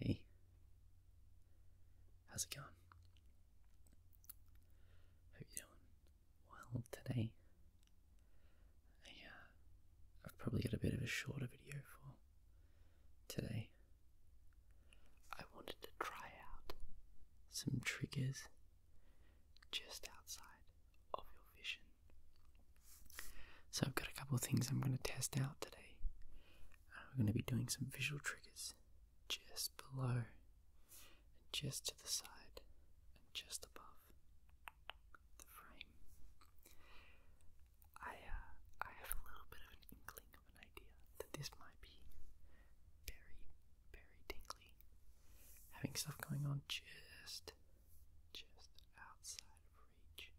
Hey. Hey. How's it going? Hope you doing well today. I, uh, I've probably got a bit of a shorter video for today. I wanted to try out some triggers just outside of your vision. So, I've got a couple of things I'm going to test out today. Uh, we're going to be doing some visual triggers just below, and just to the side, and just above the frame. I, uh, I have a little bit of an inkling of an idea that this might be very, very tingly having stuff going on just just outside of reach.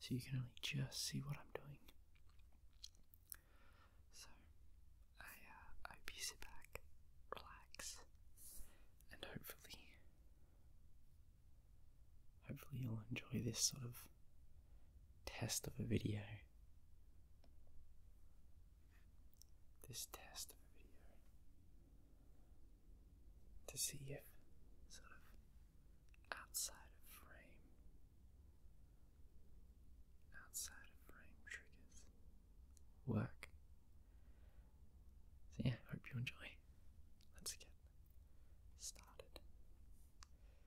So you can only just see what I'm doing. So I uh, hope you sit back, relax, and hopefully, hopefully you'll enjoy this sort of test of a video this test video to see if sort of outside of frame outside of frame triggers work. So yeah, hope you enjoy. Let's get started.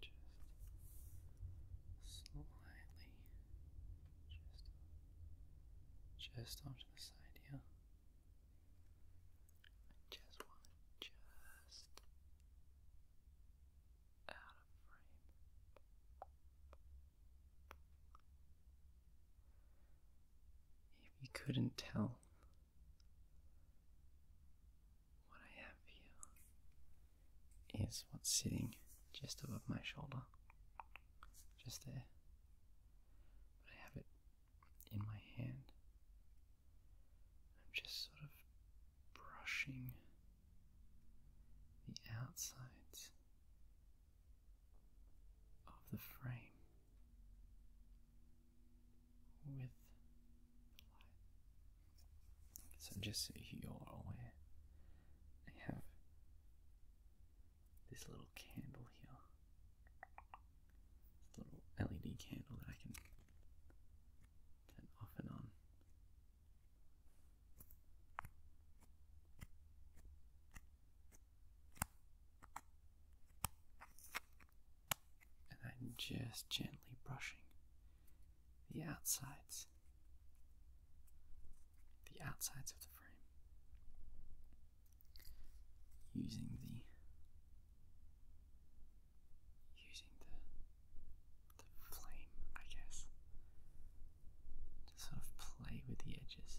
Just slightly, just, just onto the side here. just want just out of frame. If you couldn't tell, what I have here is what's sitting just above my shoulder, just there. I have it in my hand. I'm just sort of brushing the outsides of the frame with So just so you're aware, I have this little candle here. little LED candle that I can turn off and on. And then just gently brushing the outsides, the outsides of the frame, using the using the the flame, I guess, to sort of play with the edges.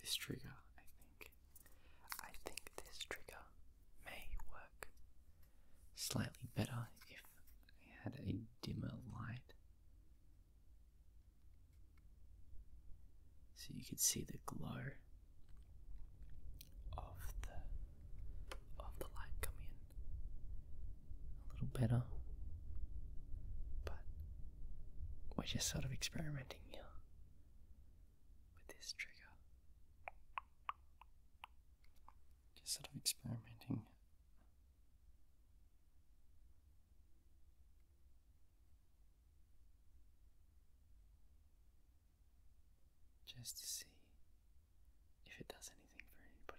This trigger, I think. I think this trigger may work slightly better if I had a dimmer light. So you could see the glow of the of the light come in a little better. But we're just sort of experimenting here with this trigger. Just sort of experimenting just to see if it does anything for anybody.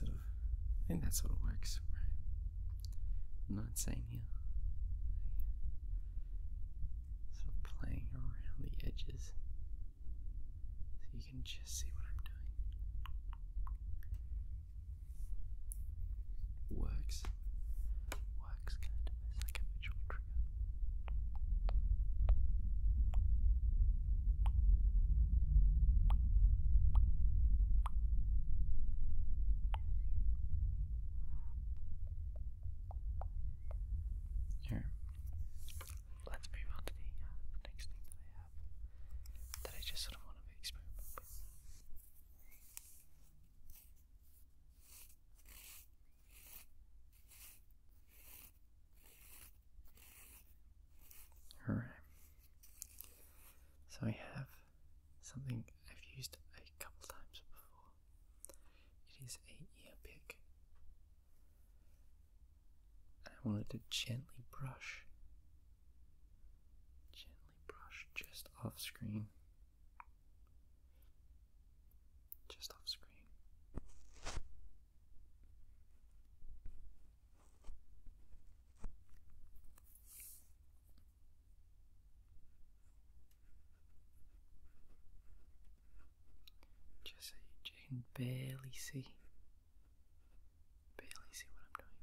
Okay. I think that sort of I think that sort of works, I'm not saying here. So playing around the edges so you can just see what I'm doing. Works. Works kind of like a visual trigger. Here, let's move on to uh, the next thing that I have that I just sort of want to experiment Alright, so I have something I've used a couple times before, it is a ear pick. I wanted to gently brush, gently brush just off screen, just off screen. Just so you can barely see, barely see what I'm doing.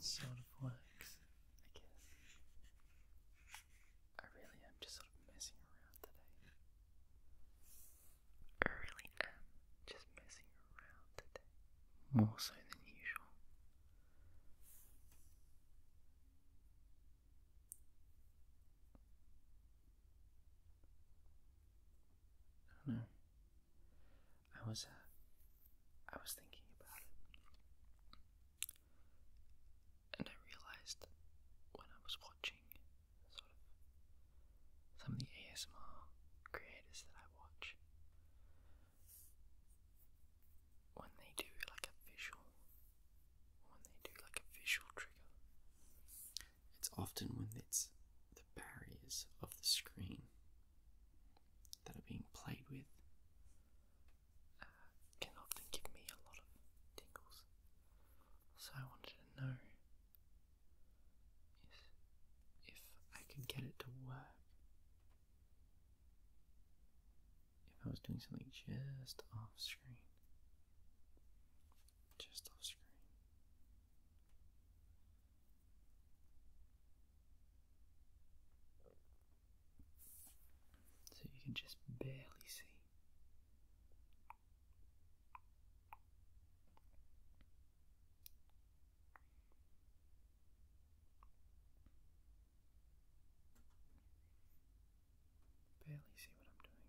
sort of works, I guess. I really am just sort of messing around today. I really am just messing around today. More so than usual. I don't know. I was, uh, I was thinking about it, and I realized when I was watching sort of some of the ASMR creators that I watch, when they do like a visual, when they do like a visual trigger, it's often when it's the barriers of the screen that are being played with can often give me a lot of tingles. So I wanted to know if I could get it to work. If I was doing something just off screen. Just off screen. So you can just barely see. Barely see what I'm doing.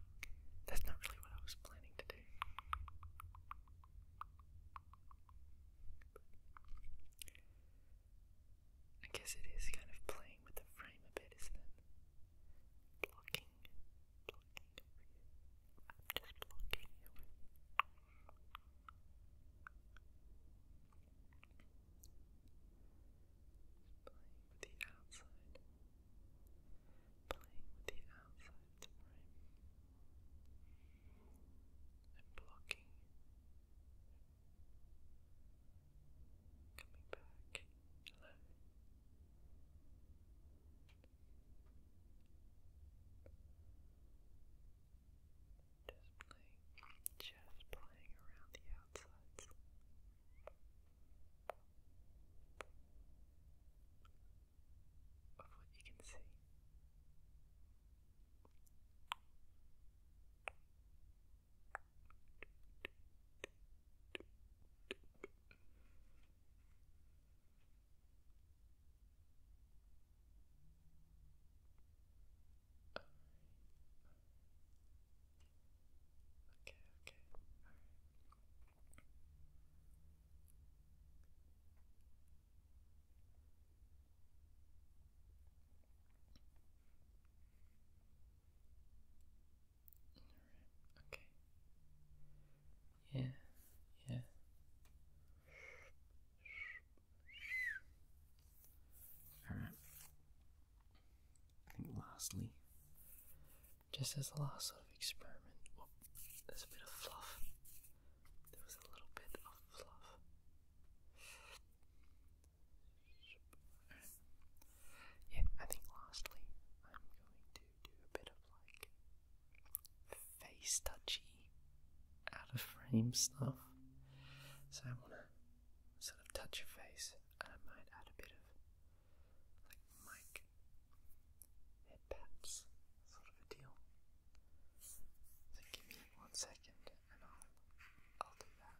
That's not really what I was planning to do. I guess it is kind of playing with the frame a bit, isn't it? Blocking, blocking I'm just blocking you playing with the outside, playing with the outside and blocking, coming back, Just playing, just playing around the outsides of what you can see. Okay, okay, alright. okay. Yeah, yeah. Alright. I think lastly, just as a last sort of experiment, there's a bit of fluff. There was a little bit of fluff. Yeah, I think lastly, I'm going to do a bit of like face touchy, out of frame stuff. So I want to sort of touch your face, I might add a bit of like mic head sort of a deal. So give me one second, and I'll I'll do that.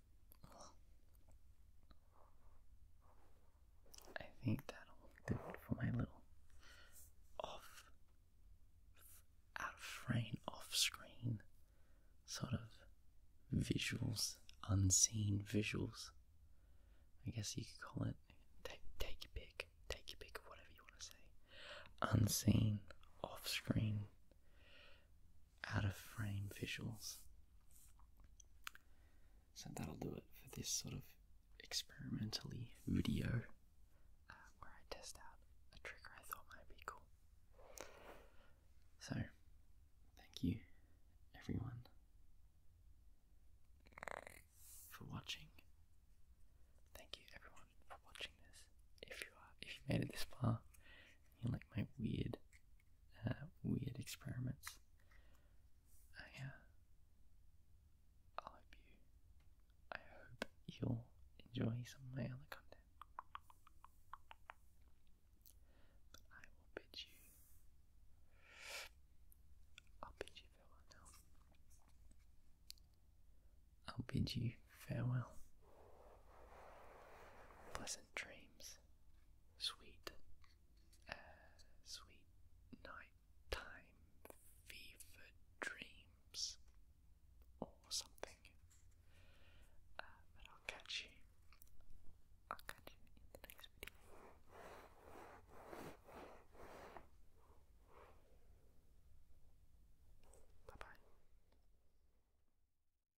I think that'll do for my little off, out of frame, off screen sort of visuals, unseen visuals. I guess you could call it. Take, take your pick, take your pick of whatever you want to say. Unseen, off screen out of frame visuals. So that'll do it for this sort of experimentally video uh, where I test out a trigger I thought might be cool. So, thank you everyone for watching. Thank you everyone for watching this. If you are if you made it this far, you like my weird, uh, weird experiments. Oh, I, hope you. I hope you'll enjoy some of my other content. But I will bid you. I'll bid you farewell I'll bid you farewell. Pleasant dreams sweet, uh, sweet nighttime fever dreams or something. Uh, but I'll catch you. I'll catch you in the next video. Bye bye.